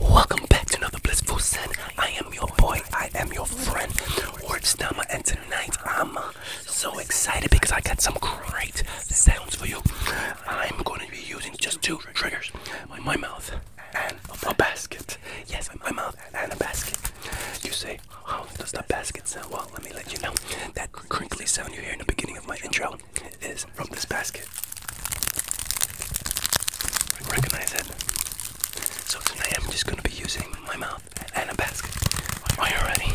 Welcome back to another Blissful Sin. I am your boy, I am your friend, Words Orchdama, and tonight I'm uh, so excited because I got some great sounds for you. I'm going to be using just two triggers my mouth and a basket. Yes, my mouth and a basket. You say, how does the basket sound? Well, let me let you know. That crinkly sound you hear in the beginning of my intro is from this basket. Recognize it? So tonight I'm just gonna be using my mouth and a basket. Are you ready?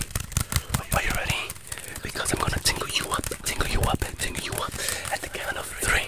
Are you ready? Because I'm gonna tingle you up, tingle you up, and tingle you up at the count of three.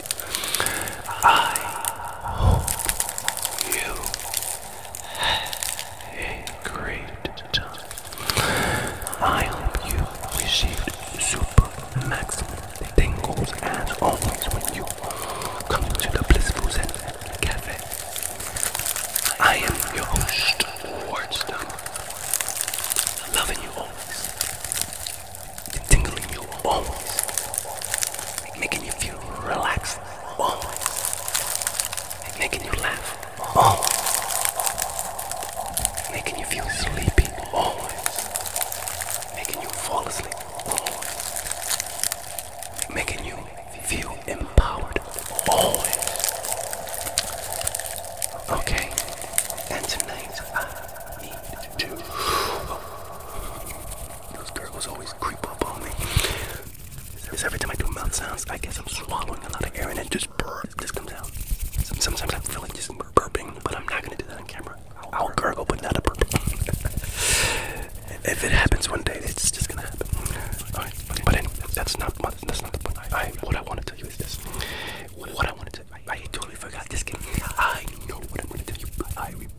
I hope you had I hope you received super maximum tingles as always when you come to the Blissful Zen Cafe. I am your host, Wardstone. Loving you always tingling you always, making you feel relaxed always, making you laugh always, making you feel sleepy always, making you fall asleep always, making you feel empowered always. Okay, and tonight I need to. Those gurgles always creep up on me. Because every time I do mouth sounds, I guess I'm swallowing a lot of air and it just burr, This comes out. Sometimes I feel like just burping, but I'm not gonna do that on camera. I'll gurgle, but not a burp. if it happens one day, it's just gonna happen. All right, but anyway, that's not my, that's not the point. what I want to tell you is this. What I want to tell you, I totally forgot this game. I know what I'm gonna tell you. I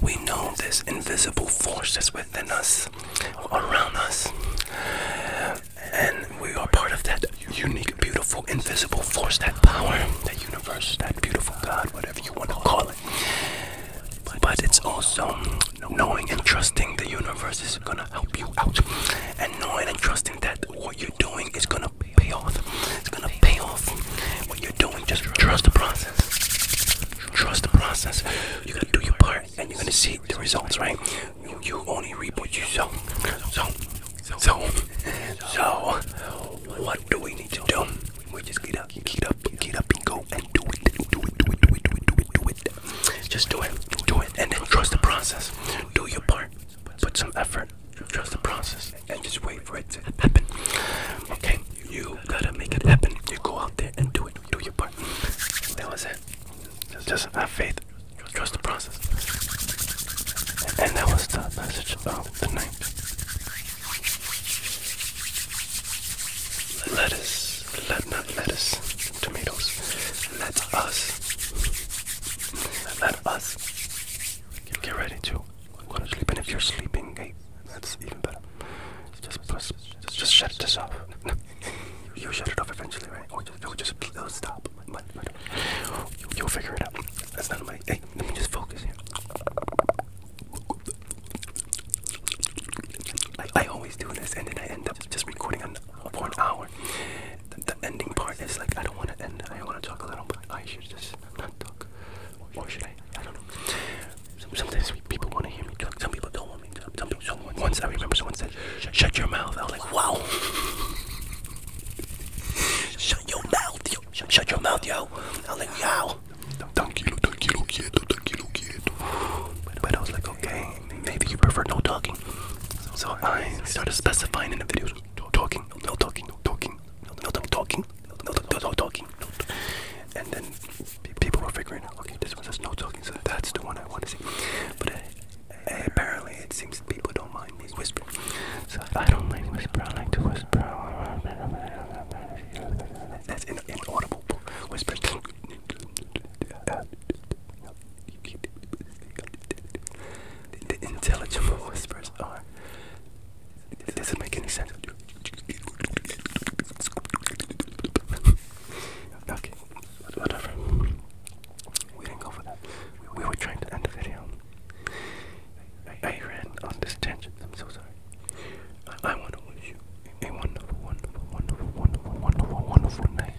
We know this invisible force that's within us, around us, and we are part of that unique, beautiful, invisible force, that power, that universe, that beautiful God, whatever you want to call it. But it's also knowing and trusting the universe is going to help you out, and knowing and trusting that what you're doing is going to pay off. It's going to pay off what you're doing. Just trust the process trust the process. You're gonna do your part, and you're gonna see the results, right? You, you only reap what you sow. So, so, so, so, what do we need to do? We just get up, get up, get up, and go and do it, do it, do it, do it, do it, do it, do it. Just do it, do it, and then trust the process. Do your part, put some effort, trust the process, and just wait for it to happen. Okay, you gotta make it happen. You go out there and do it. Do your part. That was it. Just have faith. Trust the process. And that was the message of the night. Let us, let not lettuce, tomatoes. Let us, let us get ready to I'm going to sleep. And if you're sleeping, hey, that's even better. Just press, just shut this off. you shut it off eventually, right? Or just, it'll stop. you, will figure it out. That's not my. Hey, let me just focus here. I, always do this, and then I end up just recording for an hour. the ending part is like I don't want to end. I want to talk a little, but I should just not talk or should I? I don't know. Sometimes people want to hear me talk. Some people don't want me to. Some people. Someone once I remember someone said, "Shut your mouth." I was like, "Wow." shut your mouth, yo. Shut, your mouth, yo. I was like, "Yo." Tranquilo, tranquilo, quieto, look quieto. But I was like, okay, maybe you prefer no talking. So I started specifying in the videos, talking, no talking, no talking, no talking, no them no talking, and then people were figuring out, okay, this one says no talking, so that's the one I want to see. But eh, eh, apparently, it seems people don't mind me whispering. So I don't like whisper. I like to whisper. That's in, inaudible whisper. The intelligible whispers are it doesn't make any sense. okay, whatever. We didn't go for that. We were trying to end the video. I, ran on this tangent. I'm so sorry. I, want a wonderful, wonderful, wonderful, wonderful, wonderful, wonderful night.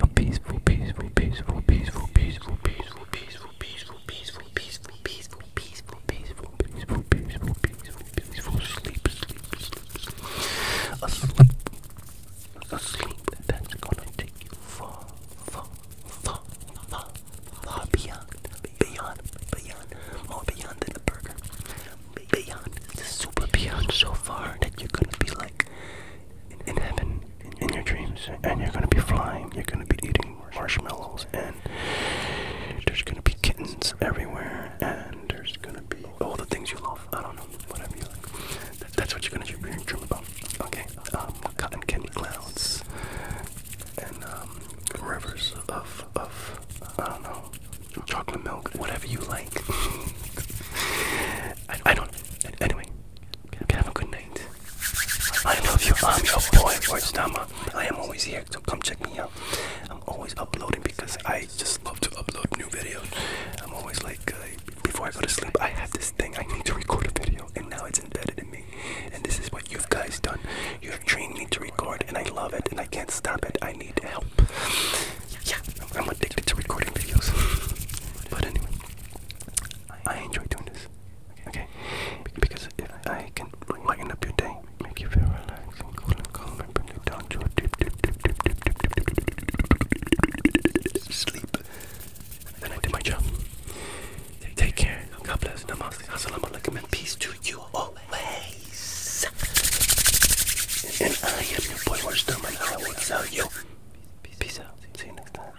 A peaceful, peaceful, peaceful, peaceful, peaceful, peaceful, peaceful, peaceful, peaceful, peaceful, peaceful, peaceful, peaceful, peaceful, peaceful, peaceful, peaceful sleep, sleep, sleep, sleep. A sleep, a sleep that's gonna take you far, far, far, far, far beyond, beyond, beyond, more beyond than a burger. Beyond, super beyond, so far that you're gonna be like in heaven in your dreams, and you're gonna be flying. You're gonna be eating marshmallows, and there's gonna be kittens everywhere, and there's gonna be all the things you love. I don't know, whatever you like. that's what you're gonna dream, about. Okay, um, cotton candy clouds, and um, rivers of of I don't know, chocolate milk, whatever you like. I, I don't. Anyway, have a good night. I love you. I'm your boy, Voice I am always here so come check me out. I'm always uploading because I just love to upload new videos. I'm always like, uh, before I go to sleep, I have this thing I need to record a video, and now it's embedded in me. And this is what you guys done. You have trained me to record, and I love it, and I can't stop it. I need help. Yeah, I'm addicted to recording videos. But anyway, I enjoy doing this okay? Because if I can lighten up your day, make you feel relaxed and cool and calm and bring you down to a deep, deep, deep, deep, deep, deep, deep, deep sleep, then I did my job. Take care. God bless. Namaste. Assalamu alaikum and peace to you always. And I am your boy Warstum and I will tell you. Peace out. See you next time.